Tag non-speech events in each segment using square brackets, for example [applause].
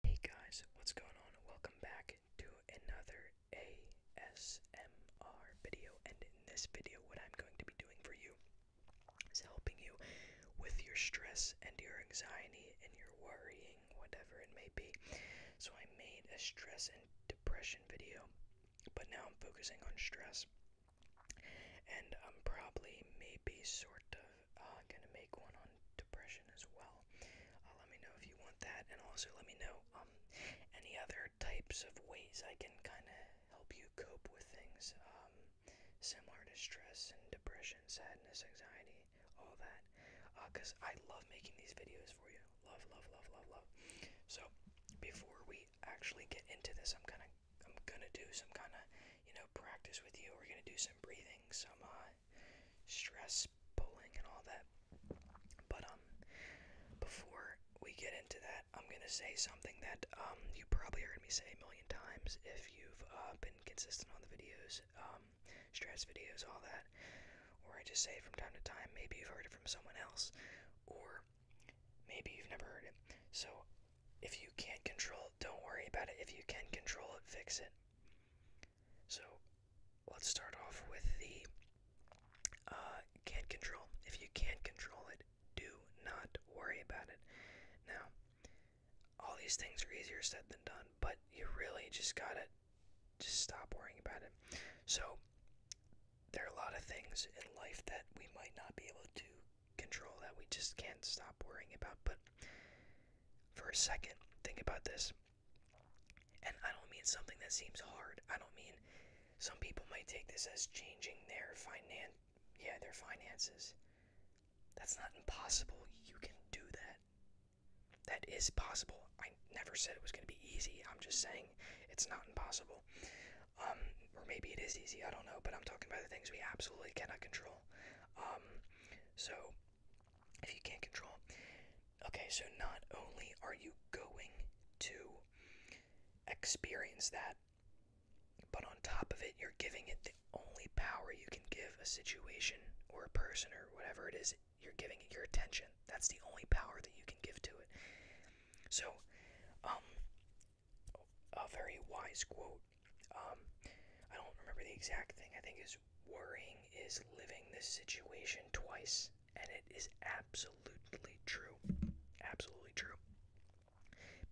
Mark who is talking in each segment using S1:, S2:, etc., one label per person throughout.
S1: Hey guys, what's going on? Welcome back to another ASMR video. And in this video, what I'm going to be doing for you is helping you with your stress and your anxiety and your worrying, whatever it may be. So I made a stress and depression video, but now I'm focusing on stress. And I'm probably maybe sort of uh, gonna make one on depression as well. Uh, let me know if you want that, and also let me know um, any other types of ways I can kind of help you cope with things um, similar to stress and depression, sadness, anxiety, all that. Because uh, I love making these videos for you. Love, love, love, love, love. So before we actually get into this, I'm gonna I'm gonna do some kind of you know practice with you. We're gonna do some breathing, some uh, stress, pulling and all that. But um, before we get into that, I'm gonna say something that um you probably heard me say a million times if you've uh, been consistent on the videos, um, stress videos, all that. Or I just say from time to time. Maybe you've heard it from someone else, or maybe you've never heard it. So if you can't control it, don't worry about it. If you can control it, fix it. So let's start off with the uh, can't control. If you can't control it, do not worry about it. Now, all these things are easier said than done, but you really just gotta just stop worrying about it. So there are a lot of things in life that we might not be able to control that we just can't stop worrying about, but for a second. Think about this. And I don't mean something that seems hard. I don't mean some people might take this as changing their finan yeah, their finances. That's not impossible. You can do that. That is possible. I never said it was going to be easy. I'm just saying it's not impossible. Um, or maybe it is easy. I don't know. But I'm talking about the things we absolutely cannot control. Um, so, if you can't control, okay, so not only are you going to experience that, but on top of it, you're giving it the only power you can give a situation or a person or whatever it is, you're giving it your attention. That's the only power that you can give to it. So, um, a very wise quote um, I don't remember the exact thing. I think is worrying is living this situation twice, and it is absolutely true. Absolutely true.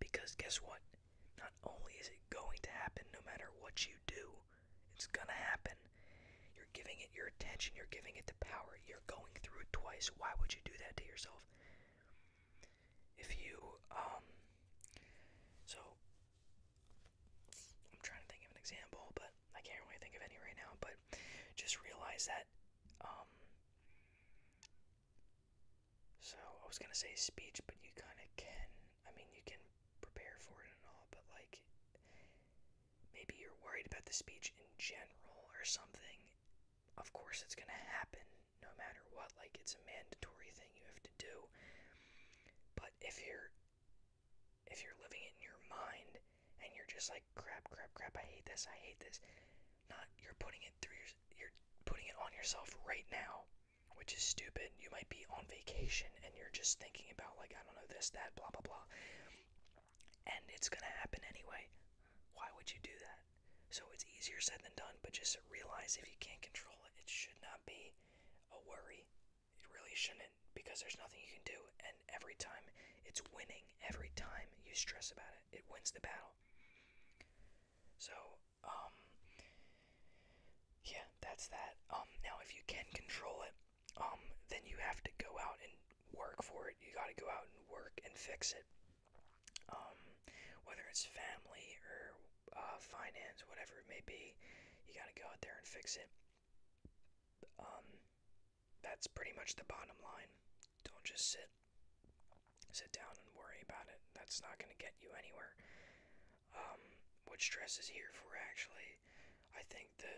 S1: Because guess what? Not only is it going to happen no matter what you do, it's going to happen. You're giving it your attention, you're giving it the power, you're going through it twice. Why would you do that to yourself? if you um so I'm trying to think of an example, but I can't really think of any right now, but just realize that um so I was gonna say speech, but you kinda can I mean you can prepare for it and all, but like maybe you're worried about the speech in general or something. Of course it's gonna happen no matter what. Like, it's a mandatory thing you have to do. But if you're if you're living it in your mind and you're just like crap crap crap i hate this i hate this not you're putting it through your, you're putting it on yourself right now which is stupid you might be on vacation and you're just thinking about like i don't know this that blah blah blah and it's going to happen anyway why would you do that so it's easier said than done, but just realize if you can't control it, it should not be a worry. It really shouldn't because there's nothing you can do. And every time it's winning, every time you stress about it, it wins the battle. So, um, yeah, that's that. Um, now if you can control it, um, then you have to go out and work for it. You got to go out and work and fix it um, whether it's family or uh, finance, whatever it may be, you got to go out there and fix it. Um, that's pretty much the bottom line. Don't just sit, sit down and worry about it. That's not going to get you anywhere. Um, what stress is here for, actually, I think the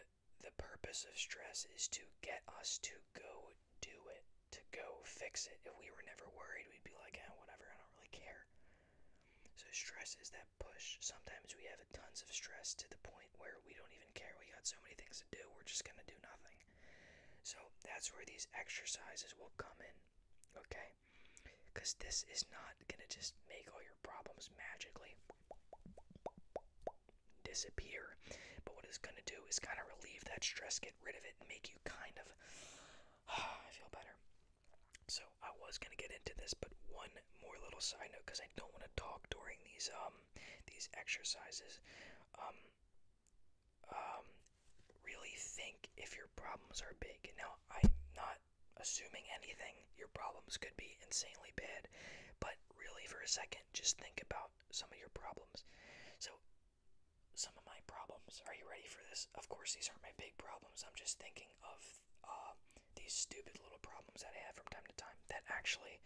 S1: the purpose of stress is to get us to go do it to go fix it. If we were never worried, we'd be like, ah, whatever, I don't really care. So stress is that push. Sometimes we have tons of stress to the point where we don't even care. We got so many things to do, we're just gonna do nothing. So that's where these exercises will come in, okay? Because this is not gonna just make all your problems magically disappear. But what it's gonna do is kind of relieve that stress, get rid of it, and make you kind of [sighs] I feel better. So I was gonna get into this, but one more little side note because I don't want to talk during these um these exercises. Um, um, really think if your problems are big. Now I'm not assuming anything. Your problems could be insanely bad, but really for a second, just think about some of your problems. So some of my problems. Are you ready for this? Of course, these aren't my big problems. I'm just thinking of uh, these stupid little problems that I have from time to time that actually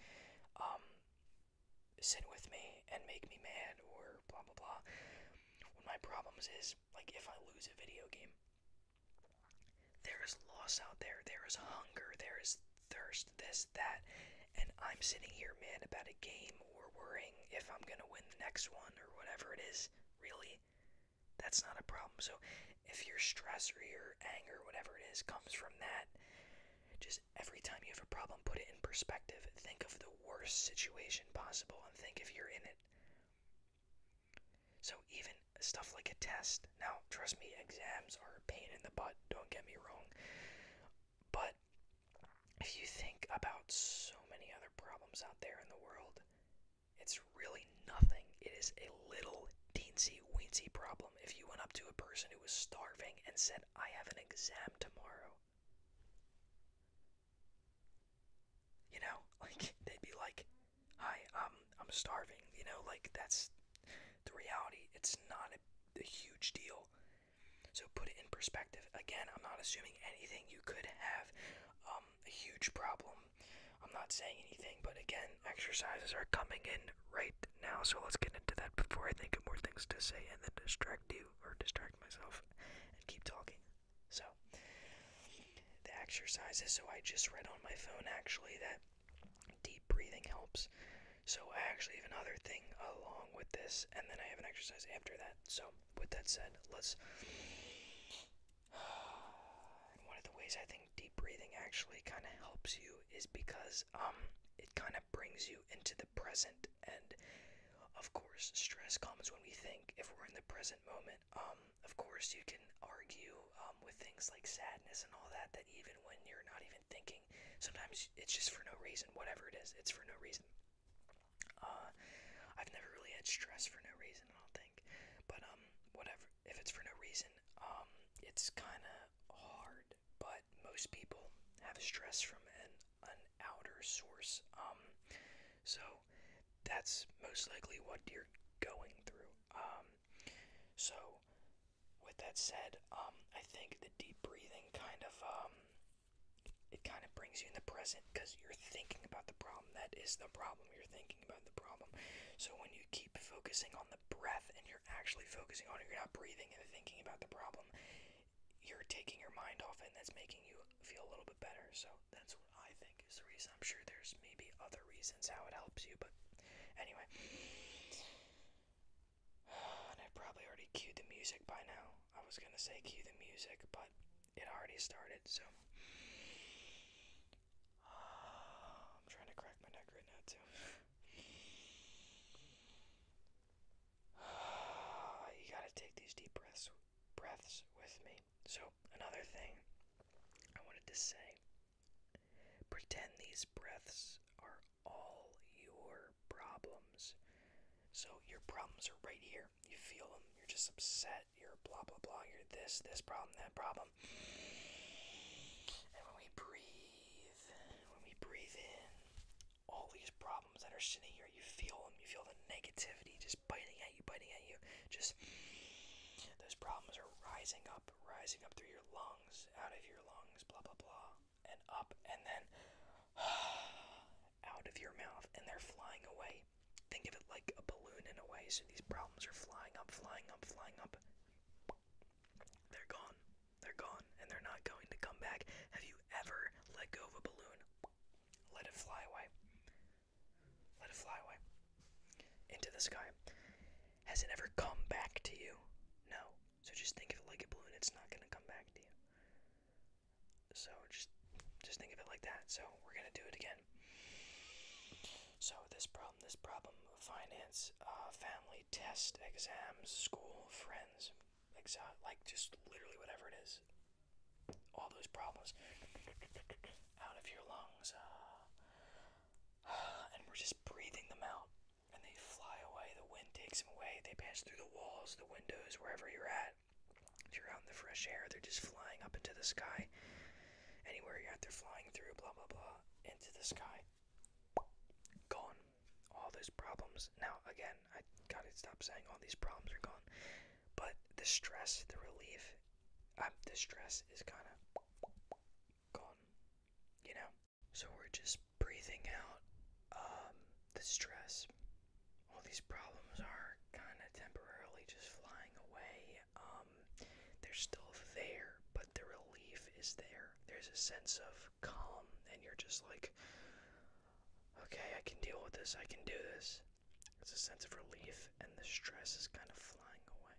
S1: um, sit with me and make me mad or blah blah blah. One of my problems is like if I lose a video game, there is loss out there, there is hunger, there is thirst, this, that, and I'm sitting here mad about a game or worrying if I'm going to win the next one or whatever it is, really, that's not a problem. So if your stress or your anger, whatever it is, comes from that, just every time you have a problem, put it in perspective. Think of the worst situation possible and think if you're in it. So even stuff like a test. Now, trust me, exams are a pain in the butt, don't get me wrong. But if you think about so many other problems out there in the world, it's really nothing. It is a little teensy weensy problem. If you went up to a person who was starving and said, I have an exam tomorrow, you know, [laughs] like they'd be like, Hi, um, I'm starving, you know, like that's the reality. It's not a, a huge deal. So put it in perspective. Again, I'm not assuming anything. You could have um, a huge problem. I'm not saying anything, but again, exercises are coming in right now. So let's get into that before I think of more things to say and then distract you or distract myself and keep talking. So the exercises. So I just read on my phone actually that deep breathing helps. So I actually have another thing along with this, and then I have an exercise after that. So with that said, let's. [sighs] one of the ways I think deep breathing actually kind of helps you is because um it kind of brings you into the present and of course stress comes when we think if we're in the present moment um of course you can argue um, with things like sadness and all that that even when you're not even even thinking. Sometimes it's just for no reason. Whatever it is, it's for no reason. Uh, I've never really had stress for no reason. I don't think, but um, whatever. If it's for no reason, um, it's kind of hard. But most people have stress from an an outer source. Um, so that's most likely what you're going through. Um, so with that said, um, I think the deep breathing kind of um it kind of brings you in the present because you're thinking about the problem. That is the problem. You're thinking about the problem. So when you keep focusing on the breath and you're actually focusing on it, you're not breathing and thinking about the problem. You're taking your mind off it, and that's making you feel a little bit better. So that's what I think is the reason. I'm sure there's maybe other reasons how it helps you, but anyway. [sighs] and I probably already cued the music by now. I was gonna say cue the music, but it already started, so. [sighs] I'm trying to crack my neck right now, too. [sighs] you gotta take these deep breaths, breaths with me. So, another thing I wanted to say pretend these breaths are all your problems. So your problems are right here. You feel them. You're just upset. You're blah, blah, blah. You're this, this problem, that problem. And when we breathe, when we breathe in, all these problems that are sitting here, you feel them. You feel the negativity just biting at you, biting at you. Just those problems are rising up, rising up through your lungs, out of your lungs, blah, blah, blah and up and then [sighs] out of your mouth and they're flying away. Think of it like a balloon in a way. So these problems are flying up, flying up, flying up. They're gone. They're gone and they're not going to come back. Have you ever let go of a balloon? Let it fly away. Let it fly away. Into the sky. Has it ever come back to you? No. So just think of it like a balloon. It's not going to come back to you. So just just think of it like that. So we're going to do it again. So this problem, this problem, finance, uh, family, test, exams, school, friends, exam, like just literally whatever it is. All those problems out of your lungs. Uh, [sighs] and we're just breathing them out and they fly away. The wind takes them away. They pass through the walls, the windows, wherever you're at. If you're out in the fresh air, they're just flying up into the sky. Anywhere you're at, they're flying through, blah, blah, blah, into the sky. Gone. All those problems. Now, again, I gotta stop saying all these problems are gone. But the stress, the relief, um, the stress is kind of gone. You know, so we're just breathing out um, the stress. All these problems are kind of temporarily just flying away. Um, they're still there, but the relief is there. There's a sense of calm, and you're just like, okay, I can deal with this, I can do this. It's a sense of relief, and the stress is kind of flying away.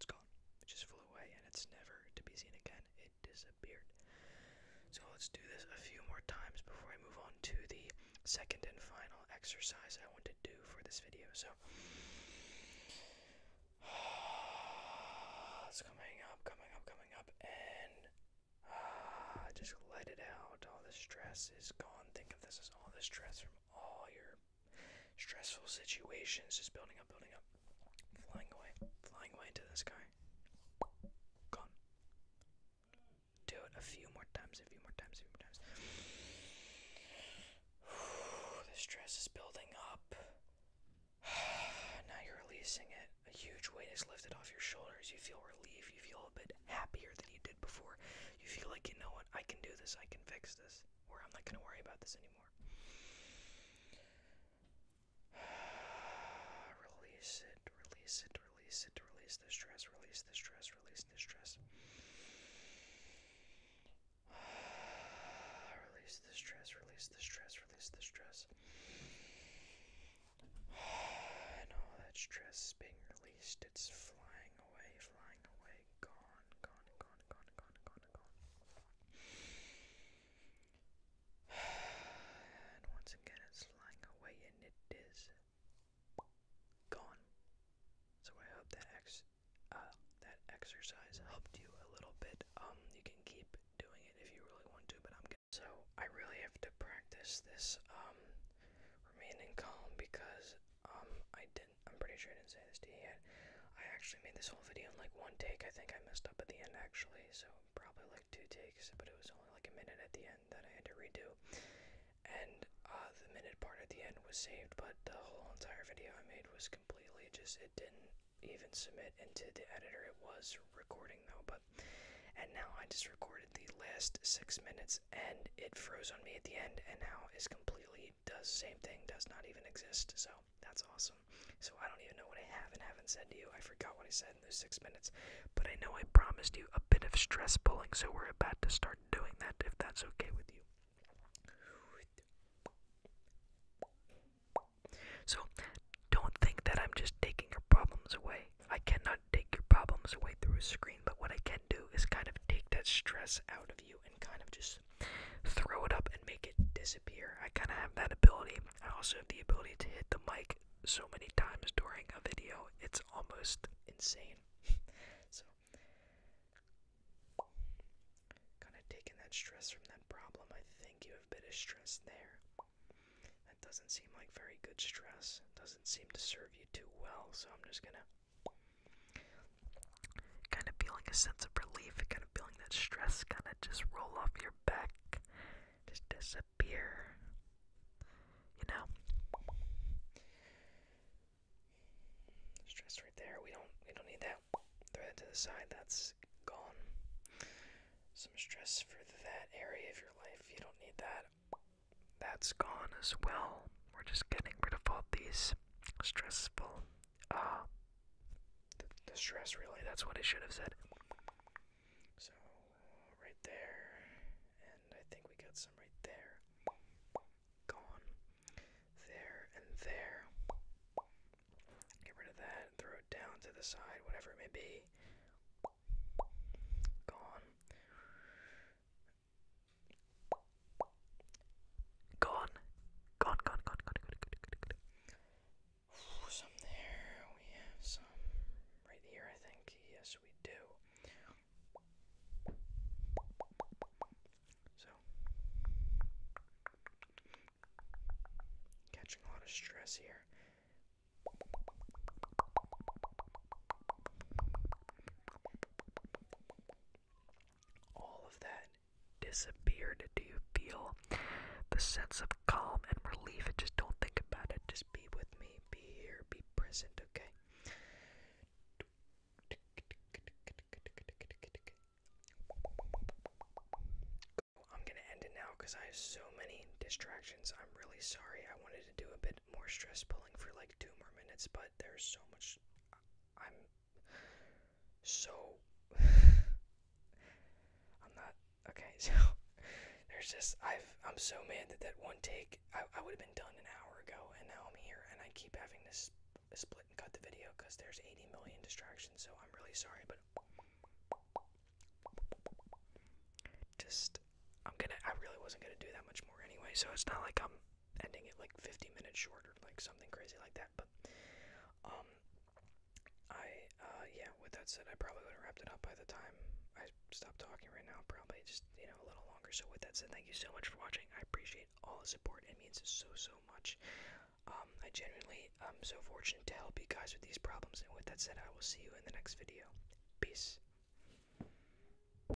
S1: It's gone. It just flew away and it's never to be seen again. It disappeared. So let's do this a few more times before I move on to the second and final exercise I want to do for this video. So [sighs] it's coming up, coming up, coming up, and ah, just let it out. All the stress is gone. Think of this as all the stress from all your Stressful situations, just building up, building up. Flying away, flying away into the sky. Gone. Do it a few more times, a few more times, a few more times. [sighs] the stress is building up. [sighs] now you're releasing it. A huge weight is lifted off your shoulders. You feel relief. You feel a bit happier than you did before. You feel like, you know what, I can do this. I can fix this. Or I'm not going to worry about this anymore. [sighs] Release it, release it, release it, release the stress, release the stress, release the stress. [sighs] Release the stress, release the stress, release the stress. [sighs] And all that stress is being released. It's flying away, flying away, gone, gone, gone, gone, gone, gone, [sighs] and once again, it's flying away, and it is gone. So I hope that ex uh, that exercise helped you a little bit. Um, you can keep doing it if you really want to, but I'm. so I really have to practice this um remaining calm because um I I'm pretty sure I didn't say this to you yet. I actually made this whole video in like one take. I think I messed up at the end actually, so probably like two takes, but it was only like a minute at the end that I had to redo. And uh, the minute part at the end was saved, but the whole entire video I made was completely just, it didn't even submit into the editor. It was recording though, but. And now I just recorded the last six minutes and it froze on me at the end and now is completely does the same thing, does not even exist. So that's awesome. So I don't even know what I have and haven't said to you. I forgot what I said in those six minutes. But I know I promised you a bit of stress pulling, so we're about to start doing that if that's okay with you. So don't think that I'm just taking your problems away. I cannot take your problems away through a screen, but what I can do is kind of take that stress out of you and kind of just throw it up and make it disappear. I kind of have that ability. I also have the ability to hit the mic so many times during a video, it's almost insane. [laughs] so, kind of taking that stress from that problem. I think you have a bit there. That doesn't seem like very good stress. Doesn't seem to serve you too well, so I'm just gonna Kind of feeling a sense of relief, kind of feeling that stress kind of just roll off your back, just disappear. You know? Stress right there. We don't we don't need that. Throw that to the side. That's gone. Some stress for that area of your life. You don't need that. That's gone as well. We're just getting rid of all these stressful. ah, the, stress, really, that's what it should have said. So, uh, right there, and I think we got some right there. Gone. There and there. Get rid of that, and throw it down to the side, whatever it may be. Gone. Gone. Gone, gone, gone, gone, gone, gone, gone, gone. Ooh, some there. We have some right here, I think. Yes, we do. So, catching a lot of stress here all of that disappeared. Do you feel the sense of calm and relief? Just don't think about it. Just be with me. Be here. Be present, okay? I'm going to end it now because I have so many distractions. I'm really sorry. I wanted to do a bit more stress pulling for like two more minutes, but there's so much. I'm so [sighs] I'm not okay. [laughs] So there's this. I've I'm so mad that that one take I I would have been done an hour ago, and now I'm here, and I keep having to split and cut the video because there's 80 million distractions. So I'm really sorry, but just I'm gonna I really wasn't gonna do that much more anyway. So it's not like i ending it like 50 minutes short or like something crazy like that. um, I uh, yeah. With that said, I probably would have wrapped it up by the time I stopped talking right now. Probably just you know a little longer. So with that said, thank you so much for watching. I appreciate all the support. It means so so much. Um, I genuinely am um, so fortunate to help you guys with these problems. And with that said, I will see you in the next video. Peace.